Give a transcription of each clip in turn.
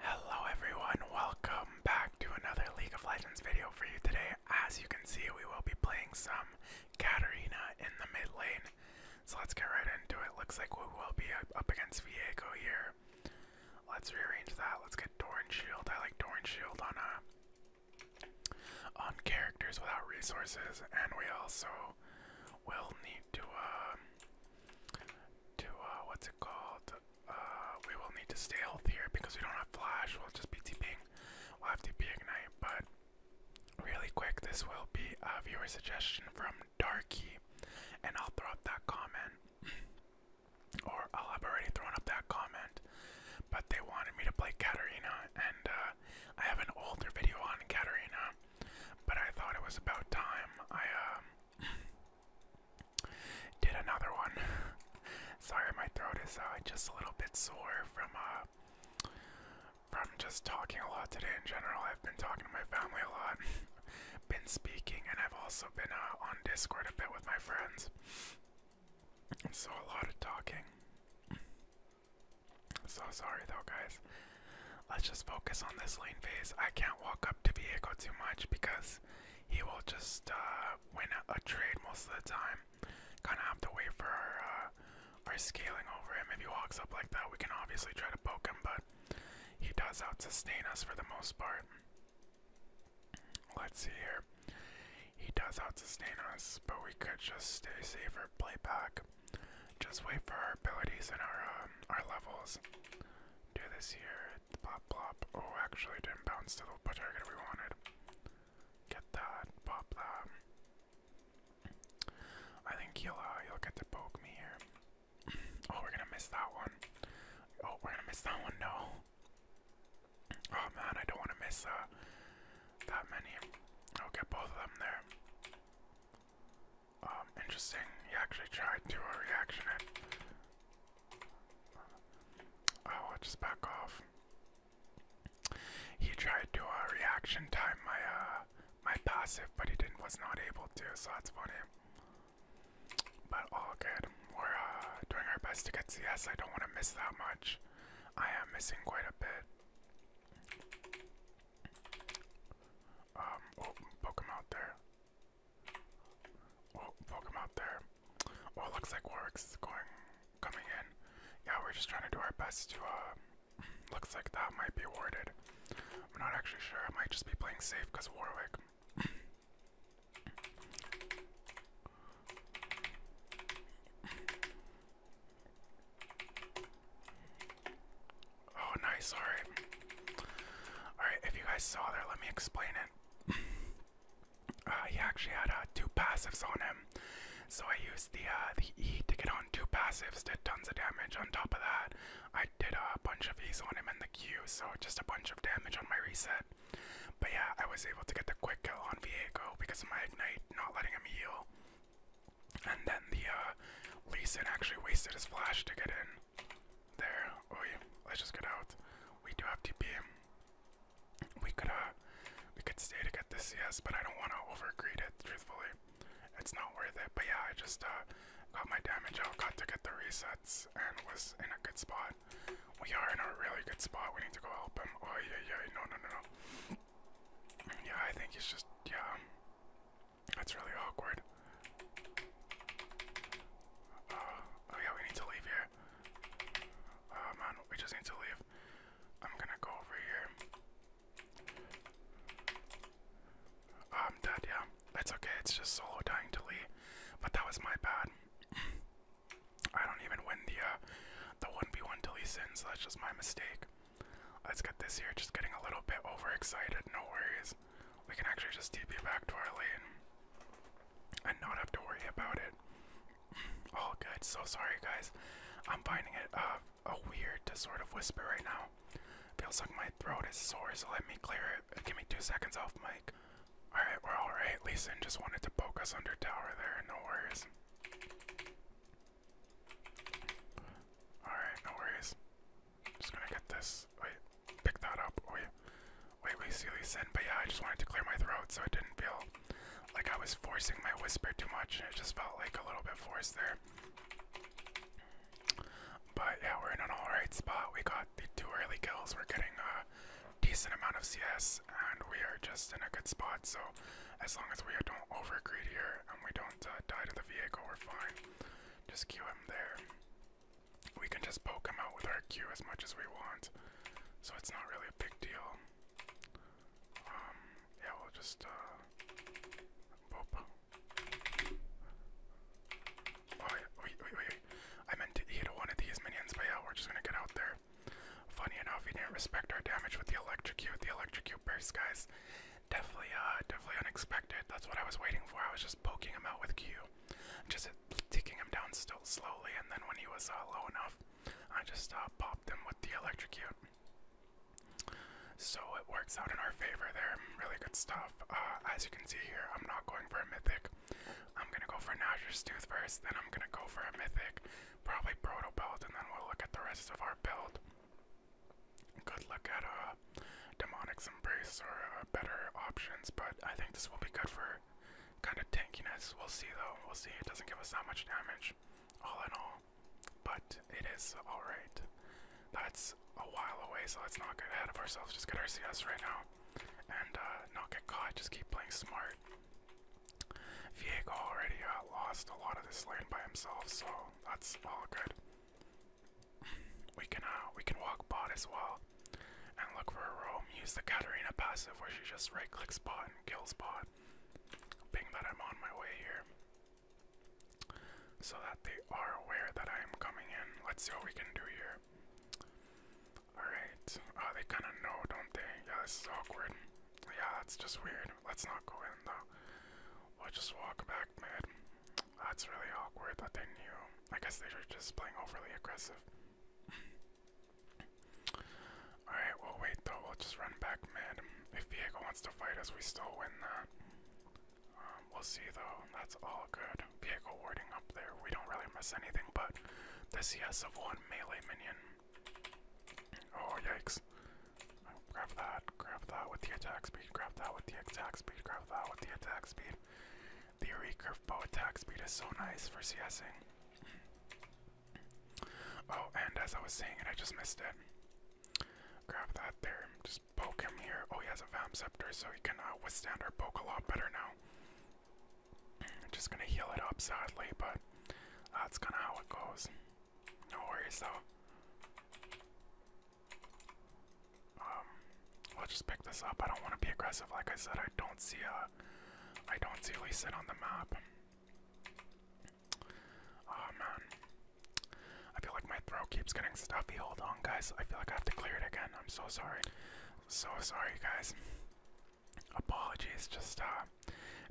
Hello everyone, welcome back to another League of Legends video for you today. As you can see, we will be playing some Katarina in the mid lane. So let's get right into it. Looks like we will be up against Viego here. Let's rearrange that. Let's get Doran Shield. I like Doran Shield on uh on characters without resources, and we also will need to uh to uh, what's it called? Uh, we will need to stay healthier because we don't have flash. We'll just be TPing. We'll have TP ignite, but really quick, this will be a viewer suggestion from Darky, and I'll throw up that comment, or I'll have already thrown up that comment. But they wanted me to play Katerina, and uh, I have an older video on Katerina, but I thought it was about time I um, Did another one. Sorry, my throat is uh, just a little bit sore from uh, from just talking a lot today in general. I've been talking to my family a lot, been speaking, and I've also been uh, on Discord a bit with my friends. So a lot of talking. So sorry though, guys. Let's just focus on this lane phase. I can't walk up to vehicle too much because he will just uh, win a, trade most of the time. Kind of have to wait for uh, our, scaling over him. If he walks up like that, we can obviously try to poke him, but he does out sustain us for the most part. Let's see here. He does out sustain us, but we could just stay safer, play back, just wait for our abilities and our um, our levels. Do this here, Plop, plop. Oh, actually, didn't bounce to the target we wanted. Get that. Pop that. I think he'll, uh, will get to poke me here. Oh, we're gonna miss that one. Oh, we're gonna miss that one. No. Oh man, I don't want to miss uh, that many. I'll get both of them there. Um, interesting. He actually tried to do a reaction it. Oh, uh, I'll just back off. He tried to do a reaction time my uh, my passive, but he didn't was not able to, so that's funny. But all good. We're uh, doing our best to get CS. I don't want to miss that much. I am missing quite a bit. Um, oh, poke him out there. Oh, poke him out there. Oh, looks like Warwick's going, coming in. Yeah, we're just trying to do our best to, uh, looks like that might be warded. I'm not actually sure. I might just be playing safe because Warwick. Oh, nice. All right. All right. If you guys saw there, let me explain it. Uh, he actually had uh, two passives on him, so I used the uh, the E to get on two passives, did tons of damage. On top of that, I did a bunch of E's on him and the Q, so just a bunch of damage on my reset. But yeah, I was able to get the quick kill on Viego because of my ignite, not letting him heal. And then the uh, actually wasted his flash to get in. There. Oh yeah. Let's just get out. We do have TP. We could uh we could stay to get the CS, but I don't wanna overgreed it, truthfully. It's not worth it. But yeah, I just uh got my damage out, got to get the resets and was in a good spot. We are in a really good spot. We need to go help him. Oh yeah yeah no no no no. Yeah, I think he's just yeah. That's really awkward. Uh, oh yeah, we need to leave here. Oh man, we just need to leave. I'm gonna go over here. Uh, I'm dead, yeah. It's okay, it's just solo dying to Lee. But that was my bad. I don't even win the uh, the 1v1 to Lee Sin, so that's just my mistake. Let's get this here, just getting a little bit overexcited, no worries we can actually just TP back to our lane and not have to worry about it. All good. So sorry, guys. I'm finding it uh, a weird to sort of whisper right now. Feels like my throat is sore, so let me clear it. Uh, give me two seconds off Mike. Alright, we're alright. Leeson just wanted to poke us under tower there. No worries. Alright, no worries. Just gonna get this. Wait, pick that up. Oh, wait, wait, wait, Sealy Sin. But yeah, I just wanted to clear my throat so it didn't feel like I was forcing my whisper too much, and it just felt like a little bit forced there. But yeah, we're in an alright spot. We got the two early kills. We're getting a decent amount of CS, and we are just in a good spot. So as long as we don't overgreed here and we don't uh, die to the vehicle, we're fine. Just queue him there we can just poke him out with our Q as much as we want. So it's not really a big deal. Um, yeah, we'll just, uh, Oh, wait, wait, wait, I meant to hit one of these minions, but yeah, we're just gonna get out there. Funny enough, he didn't respect our damage with the electrocute, the electrocute burst, guys. Definitely, uh, definitely unexpected. That's what I was waiting for. I was just poking him out with Q, just uh, taking him down still slowly. And then when he was uh, low enough, I just uh, popped him with the electrocute. So it works out in our favor there. Really good stuff. Uh, as you can see here, I'm not going for a mythic. I'm gonna go for Nasher's Tooth first, then I'm gonna go for a mythic, probably Proto Belt, and then we'll look at the rest of our build. Good look at uh, Demonic's Embrace are uh, better options, but I think this will be good for kind of tankiness. We'll see though, we'll see. It doesn't give us that much damage, all in all, but it is alright. That's a while away, so let's not get ahead of ourselves. Just get our CS right now and uh, not get caught. Just keep playing smart. Viego already uh, lost a lot of this lane by himself, so that's all good. We can uh, we can walk bot as well, and look for a room. Use the Katarina passive where she just right clicks bot and kills bot. Being that I'm on my way here, so that they are aware that I am coming in. Let's see what we can do here. All right. Uh, ah, they kind of know, don't they? Yeah, this is awkward. Yeah, that's just weird. Let's not go in though. We'll just walk back mid. That's really awkward that they knew. I guess they were just playing overly aggressive. Alright, we wait though. We'll just run back mid. If Viego wants to fight us, we still win that. Um, we'll see though. That's all good. Viego warding up there. We don't really miss anything but the CS of one melee minion. Oh, yikes. Grab that, grab that with the attack speed, grab that with the attack speed, grab that with the attack speed. The Uri Bow attack speed is so nice for CSing. Oh, and as I was saying it, I just missed it. Grab that there. Just poke him here. Oh, he has a Vam Scepter, so he can uh, withstand our poke a lot better now. I'm just gonna heal it up, sadly, but that's kind of how it goes. No worries, though. Um, let's just pick this up. I don't want to be aggressive. Like I said, I don't see a, uh, I don't see Leeson on the map. Oh man, I feel like my throat keeps getting stuffy. Hold on, guys. I feel like I have to clear it again. I'm so sorry, so sorry, guys. Apologies. Just uh,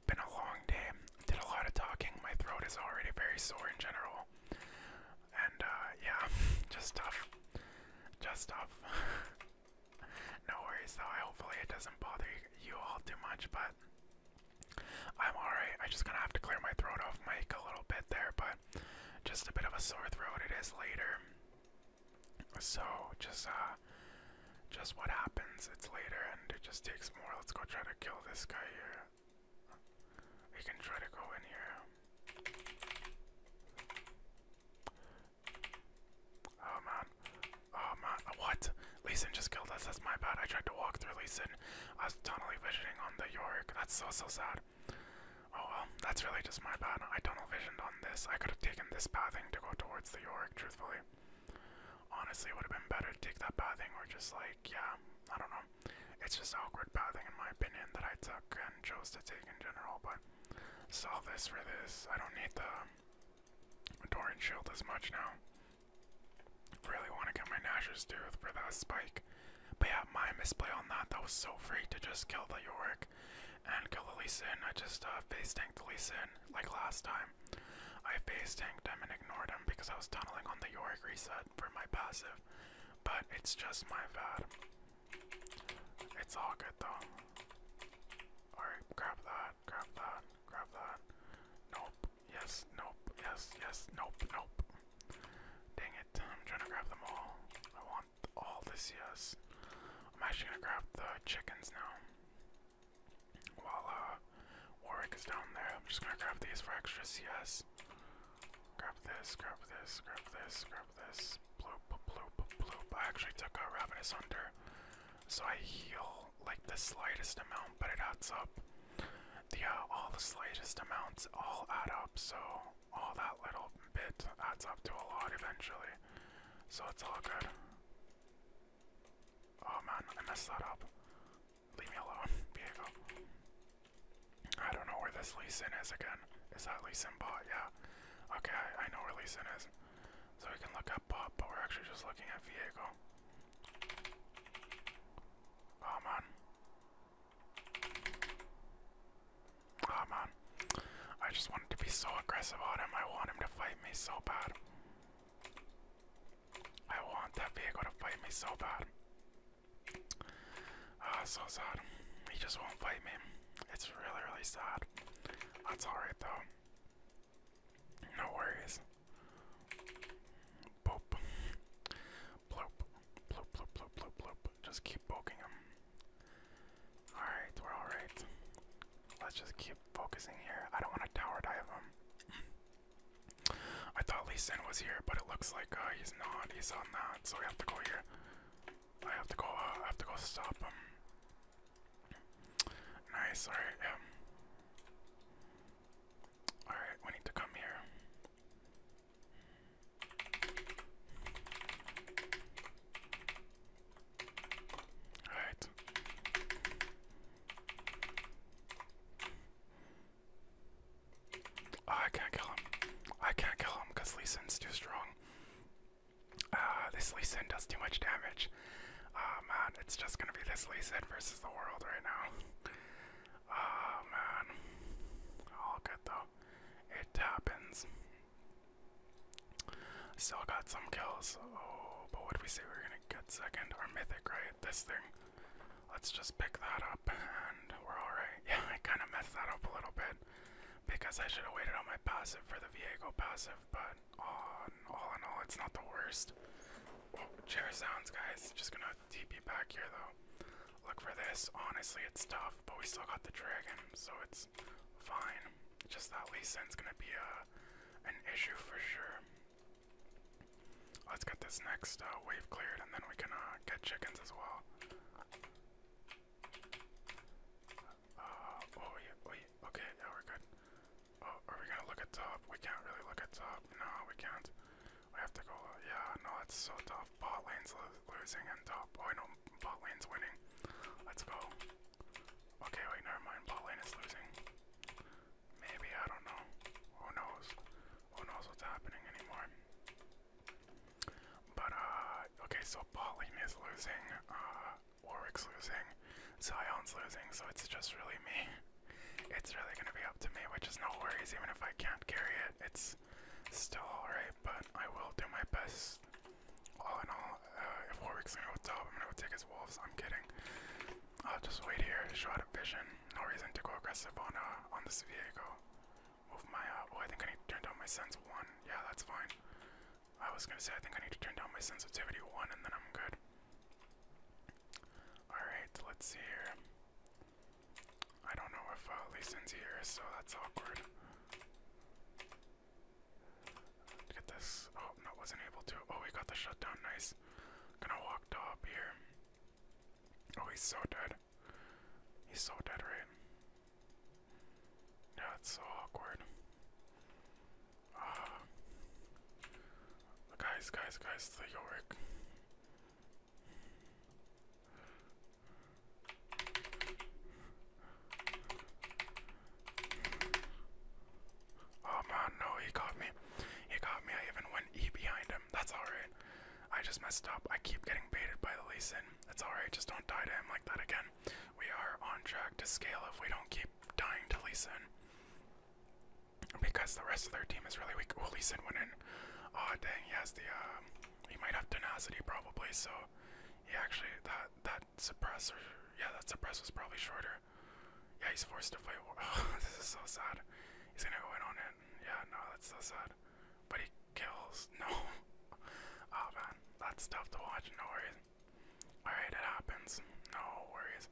been a long day. Did a lot of talking. My throat is already very sore in general. And uh, yeah, just tough, just tough. no worries though. hopefully it doesn't bother you all too much, but I'm alright. I just gonna have to clear my throat off mic a little bit there, but just a bit of a sore throat. It is later, so just uh, just what happens. It's later, and it just takes more. Let's go try to kill this guy here. We can try to go in here. Oh man. Oh man. What? Leeson just killed us. That's my bad. I tried to walk through Leeson. I was tunnelly visioning on the York. That's so, so sad. Oh well, that's really just my bad. I tunnel visioned on this. I could have taken this pathing to go towards the York, truthfully. Honestly, it would have been better to take that pathing or just like, yeah, I don't know it's just awkward pathing in my opinion that I took and chose to take in general, but solve this for this. I don't need the Doran shield as much now. Really want to get my Nashor's Tooth for that spike. But yeah, my misplay on that, that was so free to just kill the Yorick and kill the Lee I just uh, face tanked the Lee like last time. I face tanked him and ignored him because I was tunneling on the Yorick reset for my passive, but it's just my bad. It's all good though. Alright, grab that, grab that, grab that. Nope, yes, nope, yes, yes, nope, nope. Dang it, I'm trying to grab them all. I want all this, yes. I'm actually gonna grab the chickens now. While uh, Warwick is down there, I'm just gonna grab these for extra CS. Grab this, grab this, grab this, grab this. Bloop, bloop, bloop. I actually took a Ravenous under, so I heal like the slightest amount, but it adds up. The, uh, all the slightest amounts all add up, so all that little bit adds up to a lot eventually. So it's all good. Oh man, I messed that up. Leave me alone, Diego. I don't know where this Leeson is again. Is that Leeson, Sin bot? Yeah. Okay, I, know where Leeson is. So we can look up bot, but we're actually just looking at Viego. Oh man. Oh man. I just wanted to be so aggressive on him. I want him to fight me so bad. I want that vehicle to fight me so bad. Ah, oh, so sad. He just won't fight me. It's really, really sad. That's alright though. No worries. Boop. Bloop. Bloop, bloop, bloop, bloop, Just keep poking him. Alright, we're alright. Let's just keep focusing here. I don't want to tower dive him. I thought Lee was here, but it looks like uh, he's He's not. He's on that. So we have to go here. I have to go. Uh, I have to go stop him. Nice. All right. All right. We need to come here. All right. Oh, I can't kill him. I can't kill him because Lee too strong. Uh, this Lee does too much damage. Oh man, it's just gonna be this Lee versus the world right now. Oh man. All good though. It happens. Still got some kills. Oh, but what did we say we were gonna get second? or mythic, right? This thing. Let's just pick that up and we're alright. Yeah, I kind of messed that up a little bit because I should have waited on my passive for the Viego passive, but all all in all, it's not the worst. Oh, chair sounds, guys. Just gonna TP back here though. Look for this. Honestly, it's tough, but we still got the dragon, so it's fine. Just that Lee Sin's gonna be a, uh, an issue for sure. Let's get this next uh, wave cleared, and then we can uh, get chickens as well. Uh, oh yeah, wait, oh, okay, yeah, we're good. Oh, are we gonna look at top? We can't really look at top. No, we can't. We have to go, uh, yeah, no, it's so tough. Bot lane's losing and top. Oh, I know bot lane's winning. Let's go. Okay, wait, never mind. Bot lane is losing. Maybe, I don't know. Who knows? Who knows what's happening anymore? But, uh, okay, so Botley is losing, uh, Warwick's losing, Zion's losing, so it's just really me. It's really gonna be up to me, which is no worries, even if I can't carry it, it's still alright, but I will do my best. All in all, uh, if Warwick's gonna go top, I'm gonna go take his wolves, I'm kidding. I'll just wait here, shot at vision, no reason to go aggressive on, uh, on this vehicle. Move my, uh, oh, I think I need to turn down my sense one. Yeah, that's fine. I was gonna say, I think I need to turn down my sensitivity one and then I'm good. Alright, let's see here. I don't know if uh, Leeson's here, so that's awkward. Get this. Oh, no, wasn't able to. Oh, we got the shutdown. Nice. Gonna walk up here. Oh, he's so dead. He's so dead, right? Yeah, it's so awkward. Ah. guys, guys, guys, the Yorick. Oh man, no, he got me. He got me. I even went E behind him. That's alright. I just messed up. I keep getting baited by the Lee It's alright, just don't die to him like that again. We are on track to scale if we don't keep dying to Leeson, Because the rest of their team is really weak. Oh, Lee went in. Oh, dang, he has the, um, he might have tenacity probably, so he actually, that, that suppressor, yeah, that suppressor was probably shorter. Yeah, he's forced to fight. this is so sad. He's gonna go in on it. Yeah, no, that's so sad. But he kills. No. Oh man, that's tough to watch. No worries. Alright, it happens. No worries.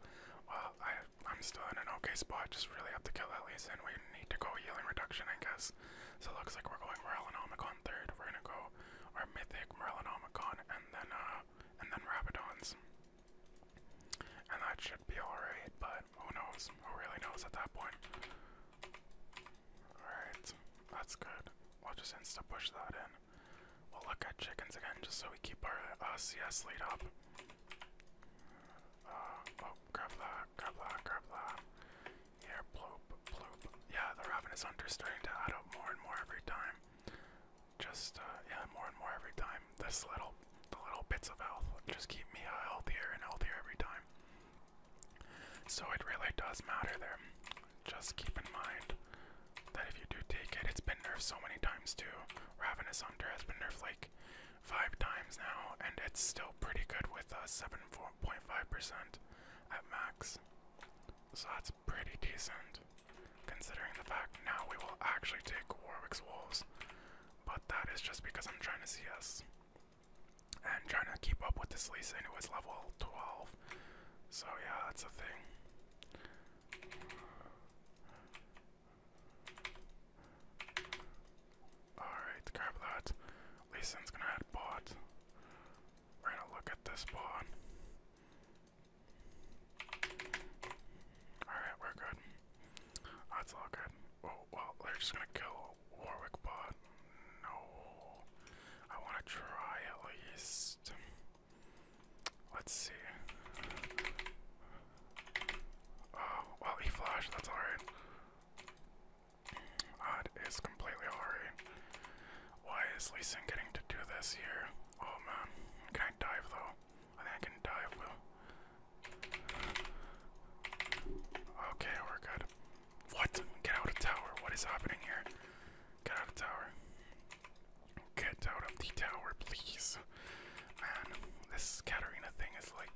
Well, I, am still in an okay spot. Just really have to kill Elise, and we need to go healing reduction, I guess. So it looks like we're going Omicron third. We're gonna go our Mythic, Merlinomicon, and then uh, and then Rabidons. And that should be alright, but who knows? Who really knows at that point? Alright, that's good. We'll just insta push that in. We'll look at chickens again just so we keep our uh, CS lead up. Uh, oh, grab that, grab that, grab that. Here, bloop, bloop. Yeah, the ravenous hunter's starting to add up more and more every time. Just, uh, yeah, more and more every time. This little, the little bits of health just keep me healthier and healthier every time. So it really does matter there. Just keep in mind that if you do take it, it's been nerfed so many times too. Ravenous Hunter has been nerfed like five times now, and it's still pretty good with uh, 7.5% at max. So that's pretty decent, considering the fact now we will actually take Warwick's Wolves. But that is just because I'm trying to see us and trying to keep up with this Lisa, and it was level 12. So, yeah, that's a thing. Alright, grab that. Leeson's gonna head bot. We're gonna look at this bot. Alright, we're good. That's all good well, they're just gonna kill Warwick but No. I wanna try at least. Let's see. Oh, well, he flashed, that's alright. That is completely alright. Why is Leeson getting to do this here? Oh man, can I dive though? I think I can dive though. Okay, we're good. What? Get out of tower. What is happening here? Get out of tower. Get out of the tower, please. Man, this Katarina thing is like.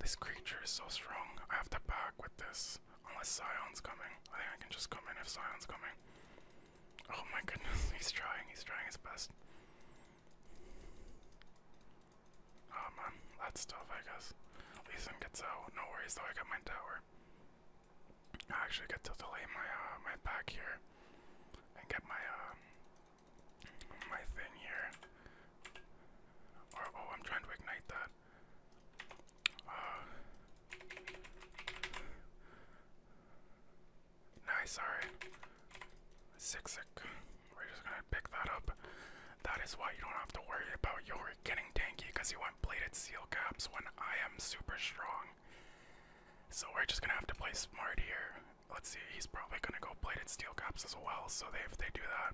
This creature is so strong. I have to back with this. Unless Scion's coming. I think I can just come in if Scion's coming. Oh my goodness, he's trying. He's trying his best. Oh man, that's tough, I guess. Leeson gets out. No worries though, I got my tower. I actually get to delay my uh, my pack here and get my uh, my thing here. Or oh, I'm trying to ignite that. Uh, nice, alright. Sick, sick. We're just gonna pick that up. That is why you don't have to worry about your getting tanky because you want bladed seal caps when I am super strong. So we're just gonna have to play smart here. Let's see, he's probably gonna go bladed steel caps as well, so they if they do that.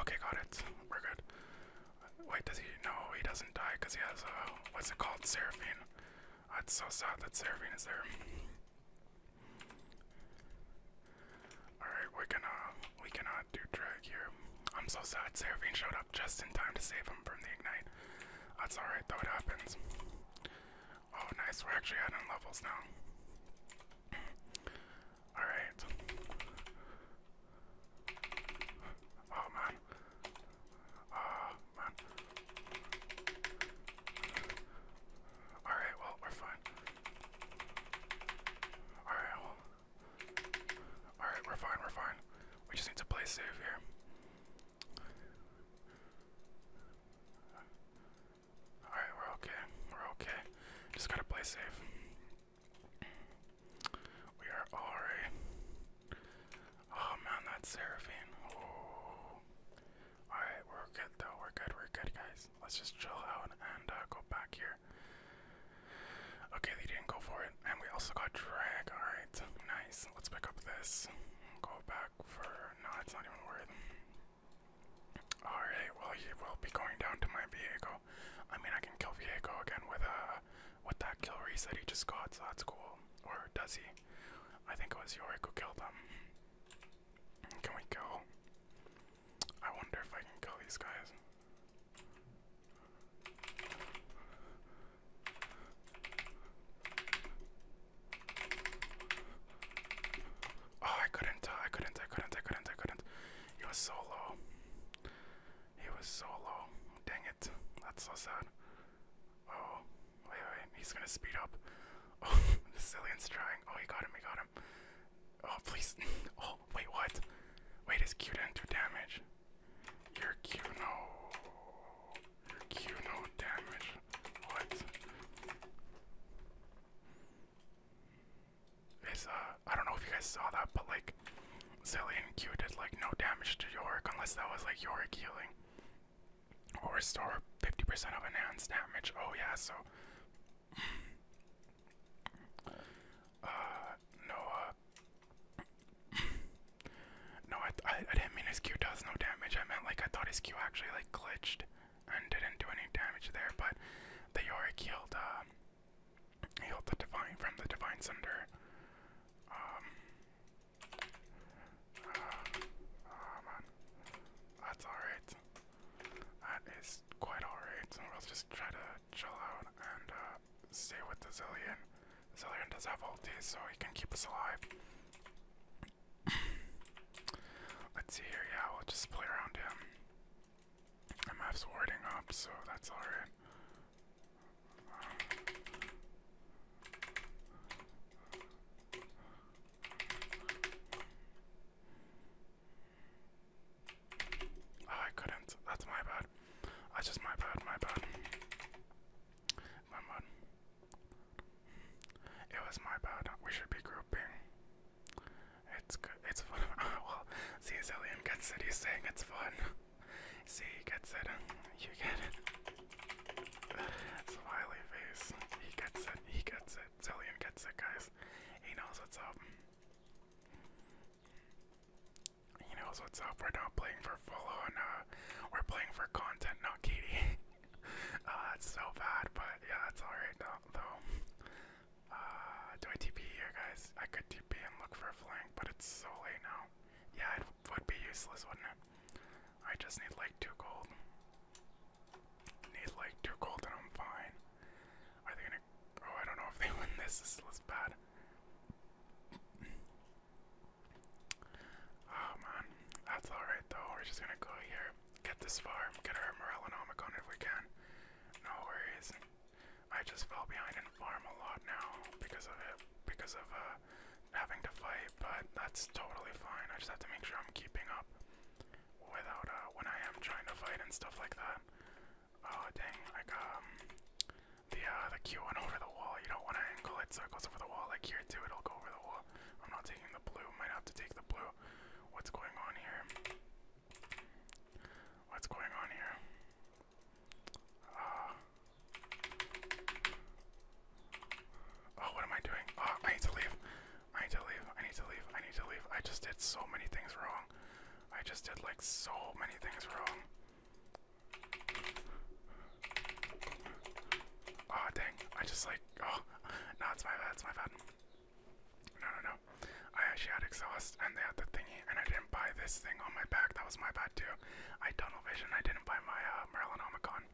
Okay, got it. We're good. Wait, does he? No, he doesn't die because he has a what's it called, Seraphine. Oh, it's so sad that Seraphine is there. All right, we can uh, we cannot do drag here. I'm so sad. Seraphine showed up just in time to save him from the ignite. That's all right though. It happens. Oh, nice. We're actually at adding levels now. All right. Oh man. Oh man. Alright, well, we're fine. Alright, well. Alright, we're fine, we're fine. We just need to play safe here. Alright, we're okay. We're okay. Just gotta play safe. We are Ari. Oh man, that's Seraphine. Oh. Alright, we're good though. We're good, we're good, guys. Let's just chill out and uh, go back here. Okay, they didn't go for it. And we also got drag. Alright, nice. Let's pick up this. Go back for. No, it's not even worth Alright, well, he will be going down to my Viego. I mean, I can kill Viego again with a. Uh, with that kill reset he just got, so that's cool. Or does he? I think it was Yorick who killed him. Can we kill? I wonder if I can kill these guys. Oh, I couldn't, uh, I couldn't, I couldn't, I couldn't, I couldn't. He was so low. He was so low. Dang it. That's so sad. Oh, wait, wait. He's gonna speed up. Oh, the Zillion's trying. Oh, he got him. He got him. Oh, please. Oh, wait, what? Wait, is Q didn't do damage? Your Q, no. Your Q, no damage. What? Is, uh, I don't know if you guys saw that, but like, Zillion Q did like no damage to Yorick unless that was like Yorick healing. Or restore 50% of enhanced damage. Oh yeah, so uh no no I, I didn't mean his Q does no damage. I meant like I thought his Q actually like glitched and didn't do any damage there, but the Yorick healed uh Heal the divine from the divine cinder. Um. Uh, oh man, that's alright. That is quite alright. So we'll just try to chill out and uh, stay with the zillion. zillion does have ulti, so he can keep us alive. Let's see here. Yeah, we'll just play around him. MF's warding up, so that's alright. Oh, I couldn't. That's my bad. That's just my bad, my bad. My bad. It was my bad. We should be grouping. It's good. It's fun. well, see, Zillion gets cities saying it's fun. See, he gets it. You get it. Smiley face. He gets it. He gets it. Zillion gets it, guys. He knows what's up. He knows what's up. We're not playing for full uh, we're playing for content, not Katie. uh, it's so bad, but yeah, it's alright though. Uh, do I TP here, guys? I could TP and look for flank, but it's so late now. Yeah, it would be useless, wouldn't it? I just need like two gold. Need like two gold and I'm fine. Are they gonna. Oh, I don't know if they win this. This is bad. Oh man, that's alright though. We're just gonna go here, get this farm, get our morale and Morellonomicon if we can. No worries. I just fell behind in farm a lot now because of it, because of uh, having to fight, but that's totally fine. I just have to make sure I'm keeping up without uh, when I am trying to fight and stuff like that. Oh dang, like um, the uh, the Q one over the wall. You don't want to angle it so it goes over the wall. Like here too, it'll go over the wall. I'm not taking the blue. Might have to take the blue. What's going on here? What's going on here? Uh, oh, what am I doing? Oh, I need to leave. I need to leave. I need to leave. I need to leave. I just did so many things wrong. I just did like so many things wrong. Oh dang! I just like oh no, it's my bad. It's my bad. No no no. I actually had exhaust and they had the thingy, and I didn't buy this thing on my back. That was my bad that too. I tunnel vision. I didn't buy my uh, Merlin Omicron.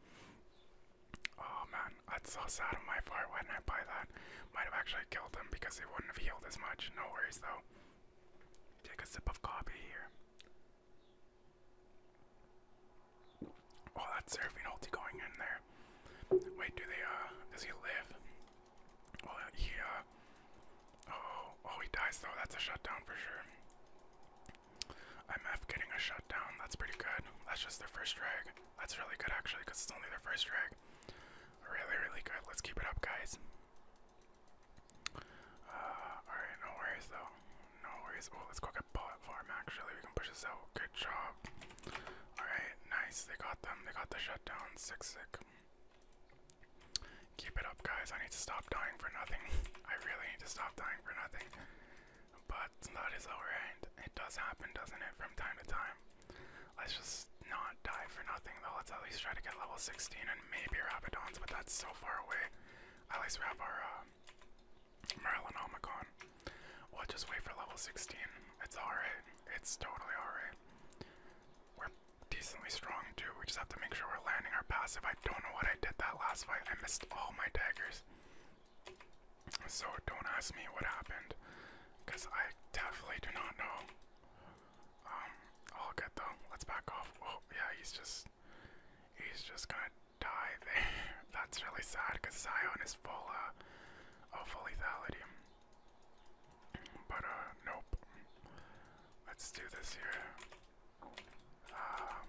Oh man, that's so sad on my fire, Why didn't I buy that? Might have actually killed him because he wouldn't have healed as much. No worries though. Take a sip of coffee here. Oh, that's Seraphine ulti going in there. Wait, do they, uh, does he live? Well, he, uh, oh, oh, he dies though. That's a shutdown for sure. I'm F getting a shutdown. That's pretty good. That's just their first drag. That's really good actually, because it's only their first drag. Really, really good. Let's keep it up, guys. Uh, alright, no worries though. No worries. Oh, let's go get bullet farm actually. We can push this out. Good job. Alright, nice. They got them. They got the shutdown. Sick, sick. Keep it up, guys. I need to stop dying for nothing. I really need to stop dying for nothing. But that is our end. It does happen, doesn't it, from time to time? Let's just not die for nothing, though. Let's at least try to get level 16 and maybe Rabidons, but that's so far away. At least we have our uh, Merlinomicon. We'll just wait for level 16. It's alright. It's totally alright. We're decently strong too. We just have to make sure we're landing our passive. I don't know what I did that last fight. I missed all my daggers. So don't ask me what happened. Because I definitely do not know. Um, all good though. Let's back off. Oh, yeah, he's just. He's just gonna die there. That's really sad because Zion is full of uh, of full lethality. But, uh, nope. Let's do this here. Um,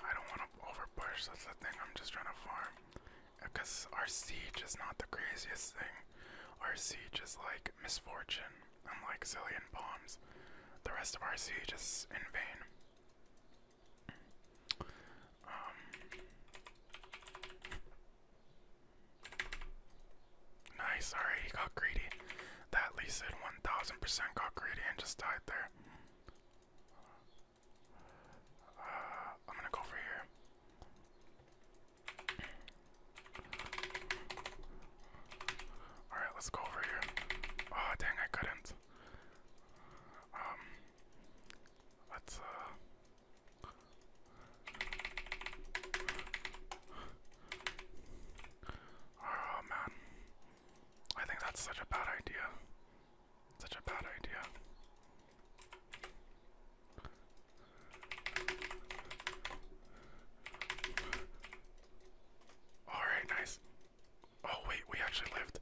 I don't want to overpush, that's the thing. I'm just trying to farm. Because uh, our siege is not the craziest thing. Our siege is like misfortune, unlike Zillion Bombs. The rest of our siege is in vain. Um, Nice, alright, he got greedy. That Lisa 1000% got greedy and just died there. Uh, I'm gonna go over here. Alright, let's go over here. Oh, dang, I couldn't. Um, let's, uh. Oh man. I think that's such a bad idea. Such a bad idea. Alright, nice. Oh wait, we actually lived.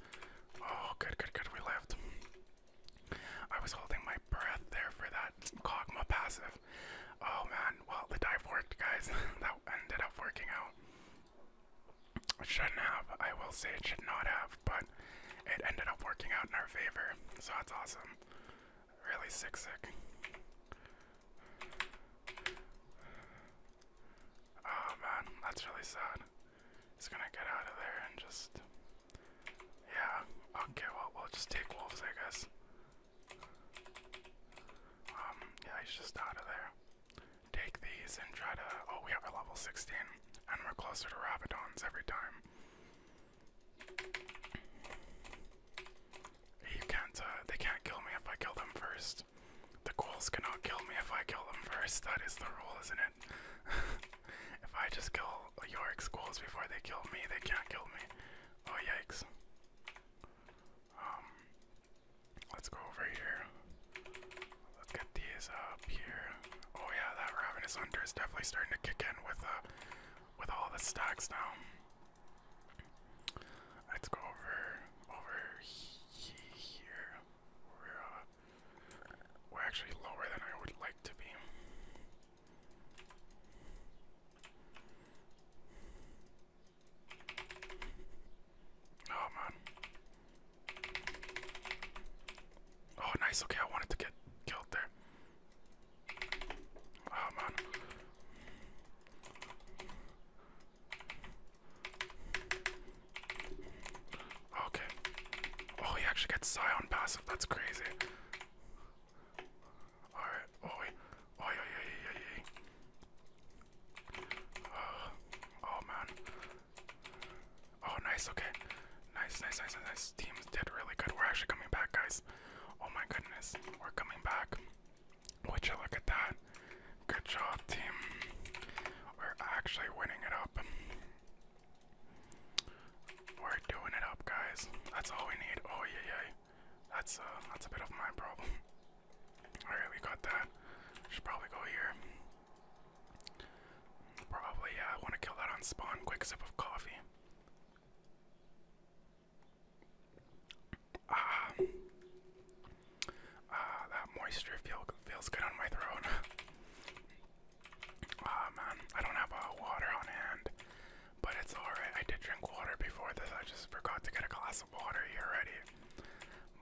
Oh good, good, good, we lived. I was holding my breath there for that Kogma passive. Oh man, well, the dive worked, guys. that ended up working out. It shouldn't have, I will say it should not have, but it ended up working out in our favor, so that's awesome. Really sick, sick. Oh man, that's really sad. It's gonna get out of there and just. Yeah, okay, well, we'll just take wolves, I guess. Um, yeah, he's just out of there. Take these and try to. Oh, we have a level 16, and we're closer to Rabidons every time. You can't. Uh, they can't kill me if I kill them first. The ghouls cannot kill me if I kill them first. That is the rule, isn't it? if I just kill Yorick's ghouls before they kill me, they can't kill me. Oh, yikes. Um, let's go over here. Let's get these up here. Oh yeah, that is hunter is definitely starting to kick in with uh, with all the stacks now. Let's go over over here. We're uh, we're actually lower than I would like to be. Oh man. Oh nice, okay, I wanted to get killed there. Oh man. Okay. Oh, he actually gets Scion passive. That's crazy. Alright, oi, oi, oi, oi, oi, oi. Oh, oh, oh man. Oh, nice, okay. Nice, nice, nice, nice. Teams did really good. We're actually coming back, guys. Oh my goodness, we're coming back. Would look at that? Good job, team. We're actually winning it up. We're doing it up, guys. That's all we need. Oh, yeah, yeah. That's uh, that's a bit of my problem. All right, we got that. Should probably go here. Probably, yeah. Uh, want to kill that on spawn. Quick sip of coffee. Ah, uh, that moisture feel, feels good on my throat. Ah, man, I don't have uh, water on hand but it's alright. I did drink water before this. I just forgot to get a glass of water here already.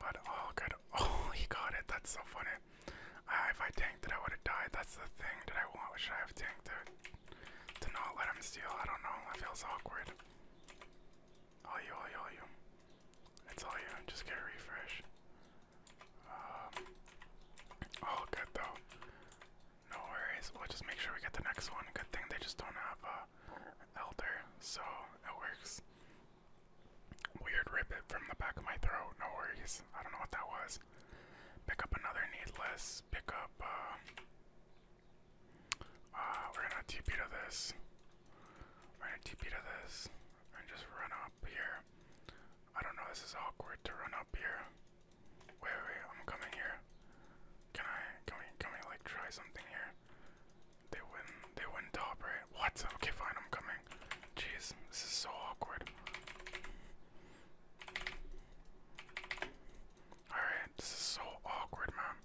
But all oh, good. Oh, he got it. That's so funny. Uh, if I tanked it, I would have died. That's the thing that I want. Should I have tanked it? To not let him steal? I don't know. That feels awkward. All you, all you, all you. It's all you. Just get a refresh. Um, all oh, good though. No worries. We'll just make sure we get the next one. Good thing they just don't have uh, elder, so it works. Weird ribbit from the back of my throat. No worries. I don't know what that was. Pick up another needless. Pick up. Uh, uh we're gonna TP to this. We're gonna TP to this and just run up here. I don't know. This is awkward to run up here. Wait, wait, I'm coming here. Can I, can we, can we like try something here? They win, they win top, right? What? Okay, fine, I'm coming. Jeez, this is so awkward. Alright, this is so awkward, man.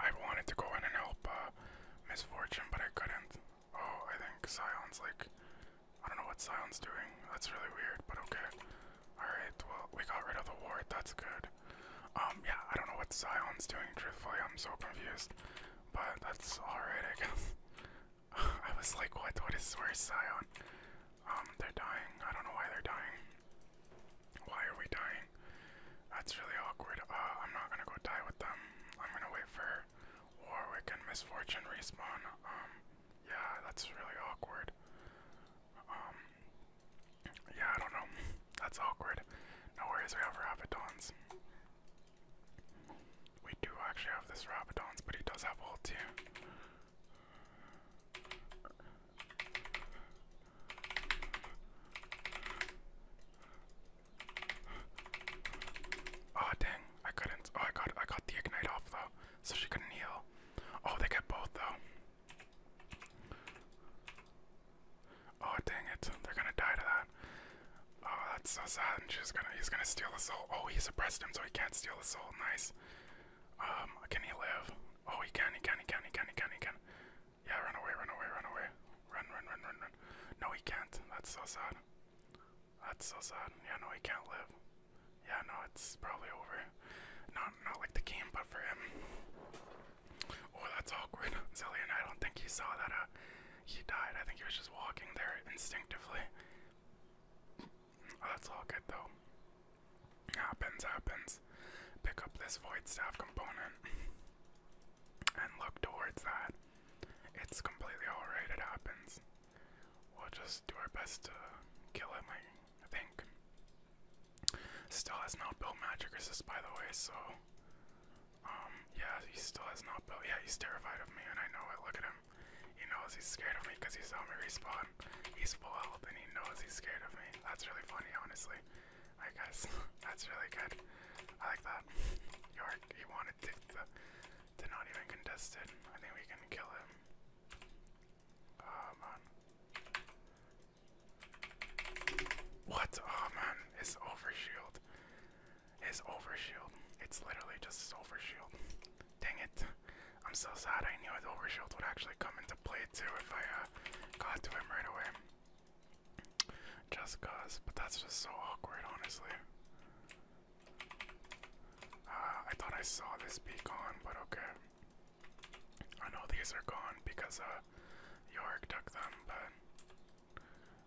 I wanted to go in and help uh, Misfortune, but I couldn't. Oh, I think Scion's like. I don't know what Scion's doing. That's really weird, but okay. Alright, well, we got rid of the ward, that's good. Um, yeah, I don't know what Zion's doing, truthfully, I'm so confused. But that's alright, I guess. I was like, what, what is, where's Zion? Um, they're dying, I don't know why they're dying. Why are we dying? That's really awkward. Uh, I'm not gonna go die with them. I'm gonna wait for Warwick and Misfortune respawn. Um, yeah, that's really awkward. Um, yeah, I don't know. That's awkward. No worries, we have Rapidons. We do actually have this Rapidons, but he does have ult too. Oh dang, I couldn't. Oh, I got I got the ignite off though, so she couldn't heal. Oh, they get both though. Oh dang it! They're gonna die to that. Oh, that's so sad. And she's gonna. He's gonna steal the soul. Oh, he suppressed him, so he can't steal the soul. Nice. Um, can he live? Oh, he can. He can. He can. He can. He can. He can. Yeah, run away. Run away. Run away. Run. Run. Run. Run. Run. No, he can't. That's so sad. That's so sad. Yeah, no, he can't live. Yeah, no, it's probably over. Not not like the game, but for him. Oh, that's awkward. Zillion, I don't think he saw that uh he died. I think he was just walking there instinctively. Oh, that's all good though. Happens, happens. Pick up this void staff component and look towards that. It's completely alright, it happens. We'll just do our best to kill him, I I think. Still has not built magic resist, by the way, so. Um, yeah, he still has not built. Yeah, he's terrified of me, and I know it. Look at him. He knows he's scared of me because he saw me respawn. He's full and he knows he's scared of me. That's really funny, honestly. Alright, guys, that's really good. I like that. York, he wanted to, to, to not even contest it. I think we can kill him. Oh man. What? Oh man, his overshield. His overshield. It's literally just his overshield. Dang it. I'm so sad I knew his overshield would actually come into play too if I uh, got to him right away. Just cause, but that's just so awkward, honestly. Uh, I thought I saw this beacon, but okay. I know these are gone because uh, Yorick took them, but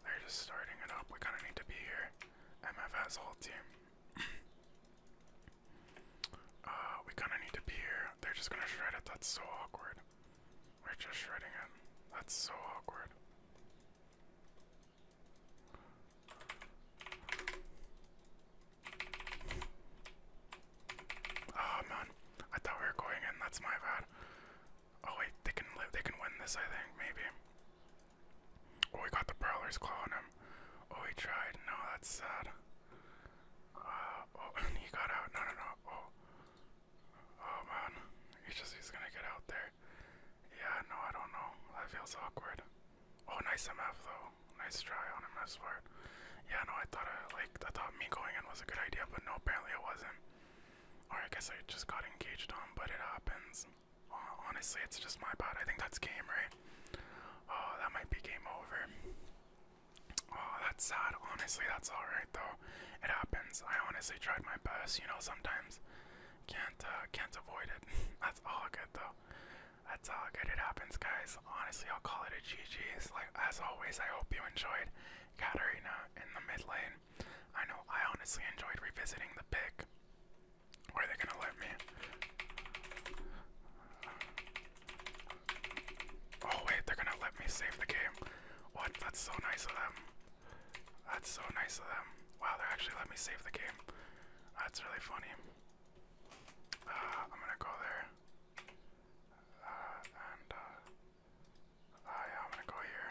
they're just starting it up. We kind of need to be here. MFS whole team. uh, we kind of need to be here. They're just gonna shred it. That's so awkward. We're just shredding it. That's so awkward. Oh man, I thought we were going in. That's my bad. Oh wait, they can live. They can win this. I think maybe. Oh, we got the Prowler's clawing him. Oh, he tried. No, that's sad. Uh, oh, he got out. No, no, no. Oh, oh man, he's just—he's gonna get out there. Yeah, no, I don't know. That feels awkward. Oh, nice MF though nice try on him, I swear. Yeah, no, I thought I, uh, like, I thought me going in was a good idea, but no, apparently it wasn't. Or I guess I just got engaged on, but it happens. Honestly, it's just my bad. I think that's game, right? Oh, that might be game over. Oh, that's sad. Honestly, that's alright though. It happens. I honestly tried my best. You know, sometimes can't uh, can't avoid it. that's all good though that's how good it happens, guys. Honestly, I'll call it a GG's. Like as always, I hope you enjoyed Katarina in the mid lane. I know I honestly enjoyed revisiting the pick. are they gonna let me? Oh wait, they're gonna let me save the game. What? That's so nice of them. That's so nice of them. Wow, they're actually let me save the game. That's really funny. I'm gonna go there. Uh, and, uh, uh, I'm gonna go here.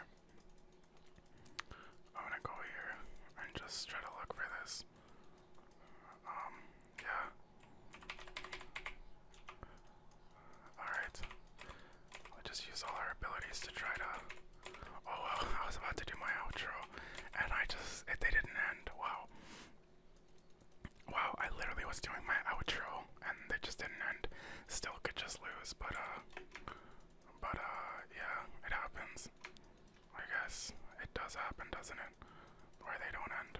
I'm gonna go here and just try to look for this. Um, yeah. Alright. i just use all our abilities to try to. Oh, well, I was about to do my outro, and I just. they didn't end. Wow. Wow, I literally was doing my outro and they just didn't end. Still could just lose, but uh but uh yeah, it happens. I guess it does happen, doesn't it? Where they don't end.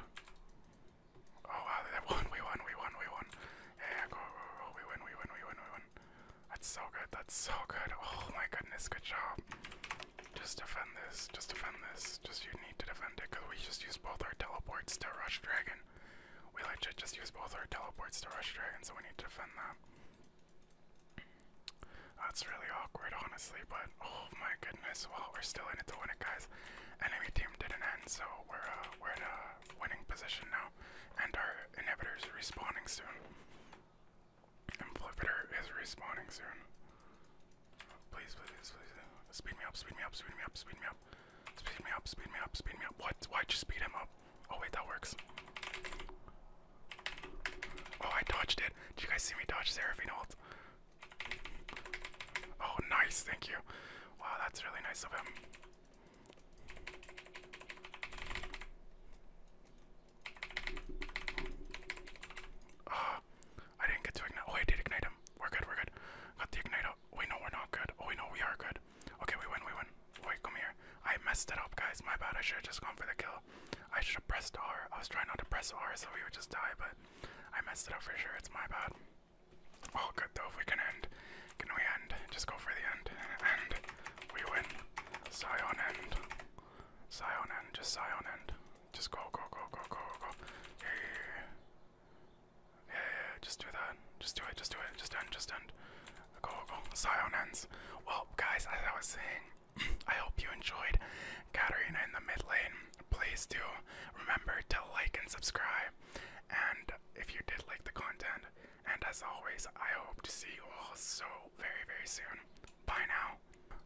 Oh wow, they won, we won, we won, we won. Yeah, go, go, go, we win, we win, we win, we win. That's so good, that's so good. Oh my goodness, good job. Just defend this, just defend this, just you need to defend it, because we just use both our teleports to rush dragon. We legit just use both our teleports to rush dragon, so we need to defend that. That's really awkward, honestly, but oh my goodness, well, we're still in it to win it, guys. Enemy team didn't end, so we're, uh, we're in a winning position now, and our inhibitor's respawning soon. Amplificator is respawning soon. Please, please, please. Speed me up, speed me up, speed me up, speed me up. Speed me up, speed me up, speed me up. What? Why'd you speed him up? Oh, wait, that works. Oh, I dodged it. Did you guys see me dodge Seraphine ult? Oh, nice, thank you. Wow, that's really nice of him. Ah, I didn't get to ignite. Oh, I did ignite him. We're good, we're good. Got the ignite up. Wait, no, we're not good. Oh, wait, no, we are good. Okay, we win, we win. Wait, come here. I messed it up, guys. My bad. I should have just gone for the kill. I should have pressed R. I was trying not to press R so we would just die, but I messed it up for sure. It's my bad. Oh, good, though. If we can end, can we end? Just go for the end. End. We win. Scion end. Scion end. Just Scion end. Just go, go, go, go, go, go, go. Yeah, yeah, yeah. Yeah, yeah, just do that. Just do it, just do it. Just end, just end. Go, go. Scion ends. Well, guys, as I was saying, I hope you enjoyed Katarina in the mid lane. Please do remember to like and subscribe. And if you did like the content, and as always, I hope to see you all so very, very soon. Bye now.